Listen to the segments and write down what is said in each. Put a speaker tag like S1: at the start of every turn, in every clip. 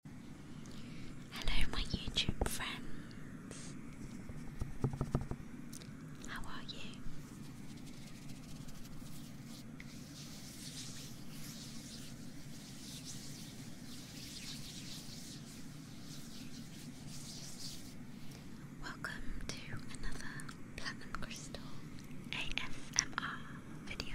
S1: Hello, my YouTube friends. How are you? Welcome to another Platinum Crystal ASMR video.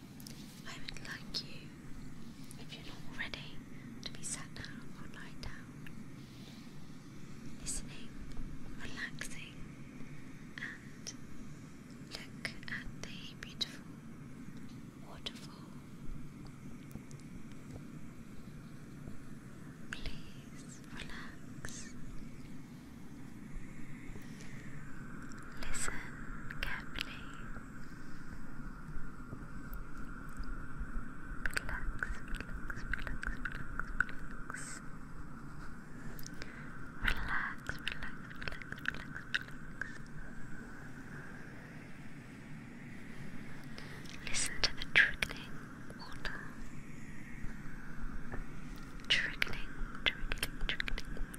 S1: I would like you, if you're not already, to be sat down or lying down, listening, relaxing, and look at the beautiful waterfall. Please relax Listen carefully. relax, relax, relax. Relax, relax, relax, relax, relax. Listen to the trickling water. Trickling, trickling, trickling water.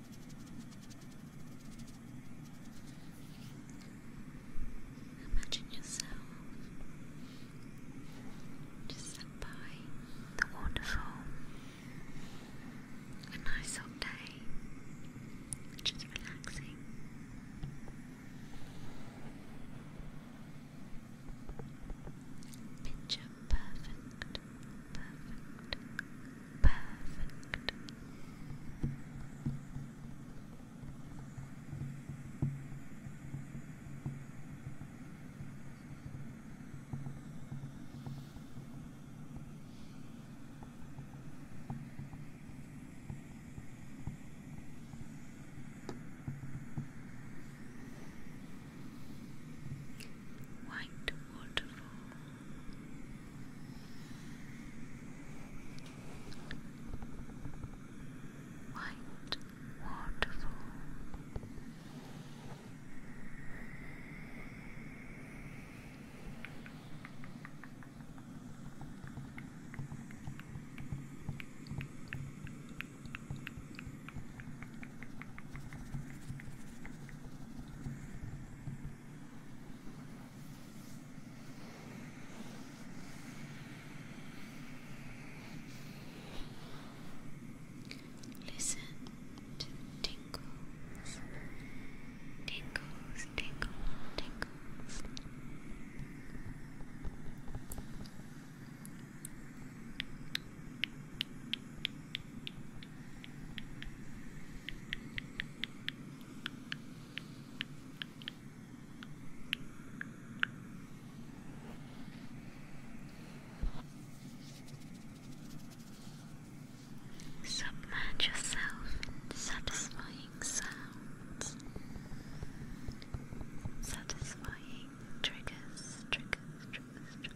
S1: Imagine yourself just sat by the waterfall, a nice hot day, just relaxing. Picture perfect, perfect, Perfect. White waterfall. White waterfall. Listen to tingles, tingles, tingles, tingles Submerge yourself in satisfying sounds, satisfying triggers, triggers, triggers,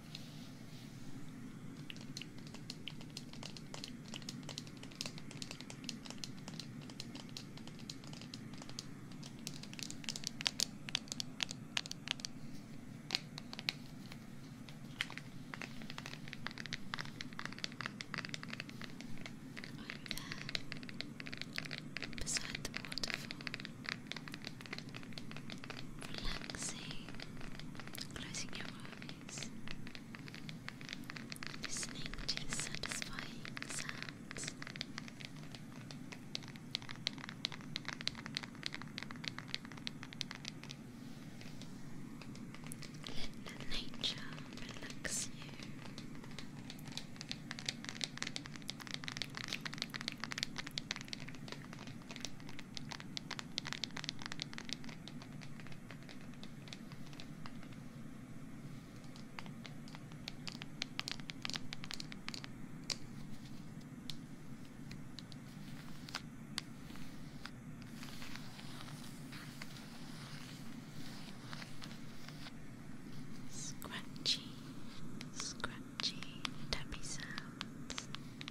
S1: there, beside the waterfall, relaxing, closing your eyes, listening to satisfying sounds. Let nature relax you. Scratchy, scratchy, tappy sounds.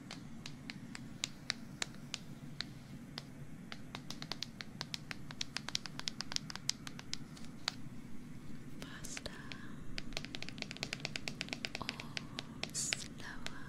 S1: Faster or slower?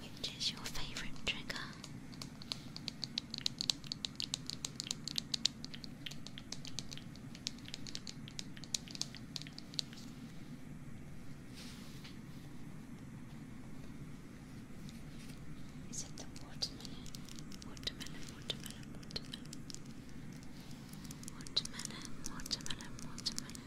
S1: Which is your favorite trigger? Is it the watermelon? Watermelon, watermelon, watermelon. Watermelon, watermelon, watermelon. Watermelon, watermelon, watermelon.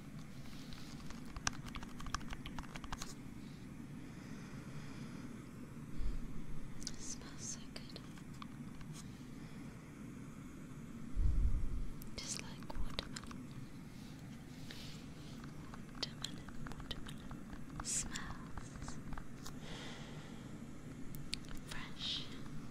S1: smells so good. Just like watermelon. Watermelon, watermelon. Smells fresh. Good.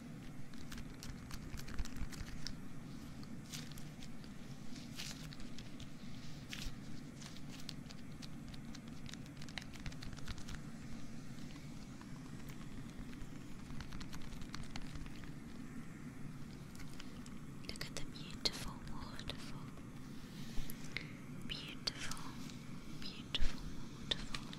S1: Look at the beautiful waterfall. Beautiful, beautiful waterfall.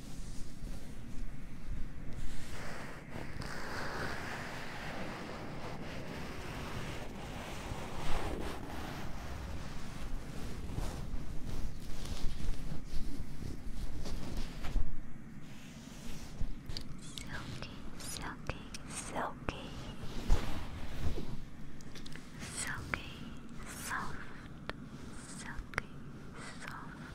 S1: Silky, silky, silky, silky, soft, silky, soft.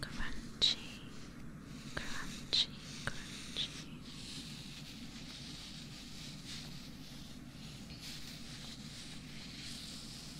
S1: Crunchy, crunchy, crunchy.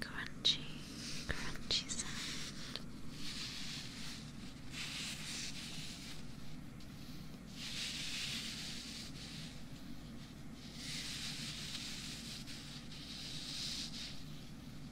S1: Crunchy, crunchy sound.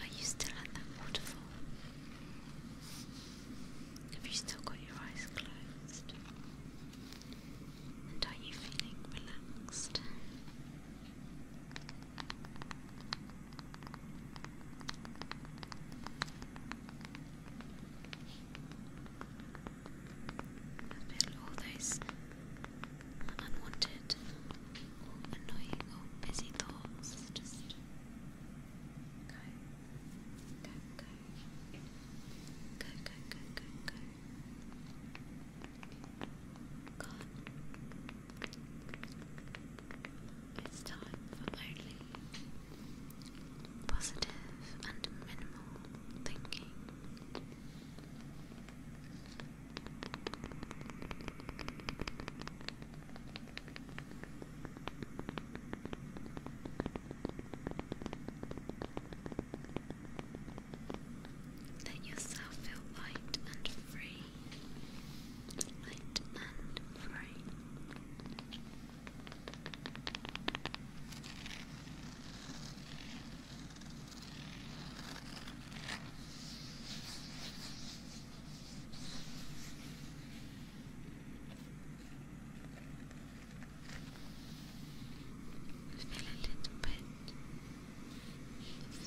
S1: Are you still at that waterfall? Have you still got your eyes closed? And are you feeling relaxed? Fill all those unwanted annoying or busy thoughts. Just go, go, go, go, go, go, go, go. Gone. It's time for only positive and minimal thinking. Let yourself feel light and free light and a little bit of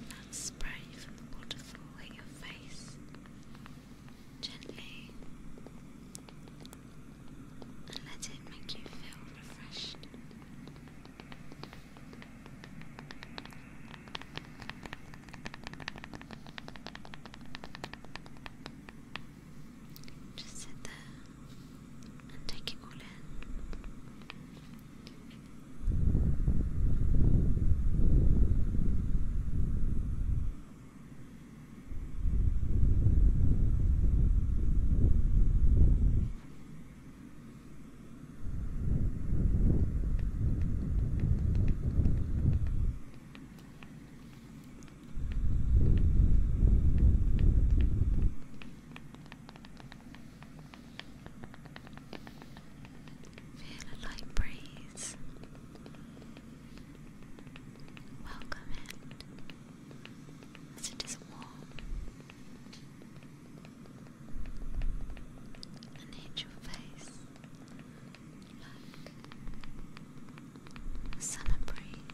S1: that spray from the waterfall at your face gently and let it make you feel refreshed. Just sit there and take it all in. Feel a light breeze Welcome in. it is warm. An angel face. Look. Summer breeze.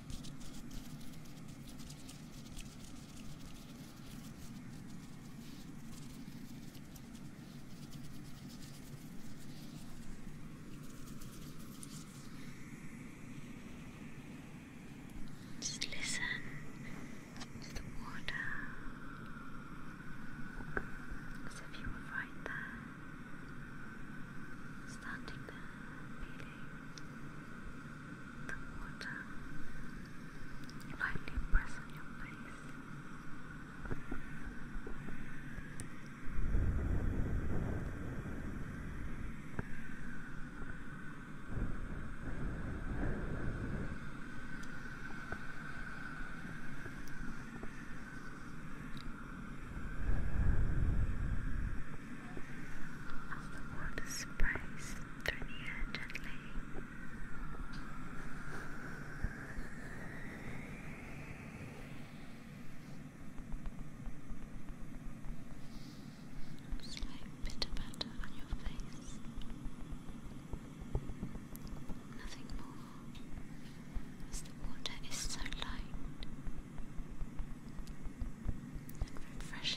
S1: Just listen to the water as if you were right there, standing there, feeling the water lightly press your face the water sprays through the air gently. like bitter butter on your face. Nothing more, as the water is so light and refreshing.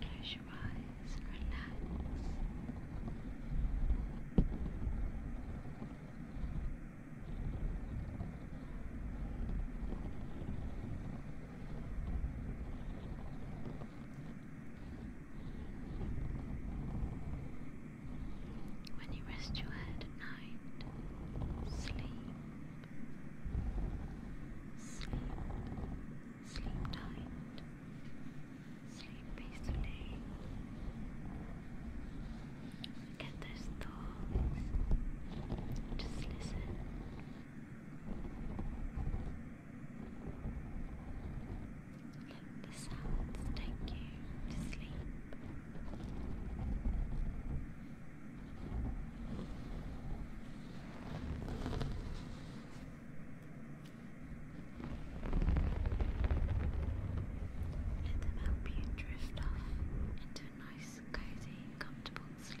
S1: Close your eyes and relax. When you rest your head at night, sleep, sleep, Sleep tight. Sleep peacefully. Get those thoughts. Just listen. Let the sounds take you to sleep. Let them help you drift off into a nice, cozy, comfortable sleep.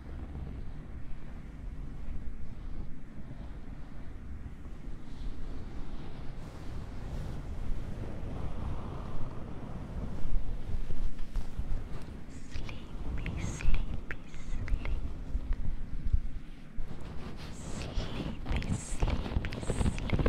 S1: Sleepy, sleepy, sleep. Sleepy, sleepy, sleep.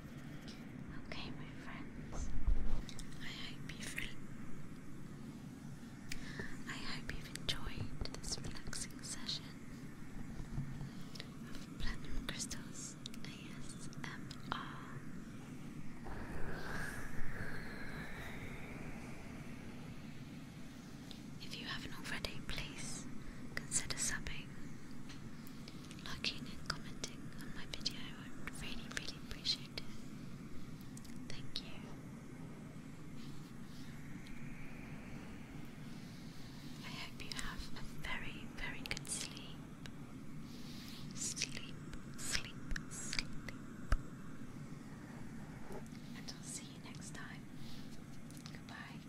S1: Okay, my friends. I hope you've enjoyed this relaxing session of Platinum Crystals ASMR. If you haven't already, please consider subbing liking and commenting on my video. I really, really appreciate it. Thank you. I hope you have a very, very good sleep. Sleep, sleep, sleep. And I'll see you next time. Goodbye.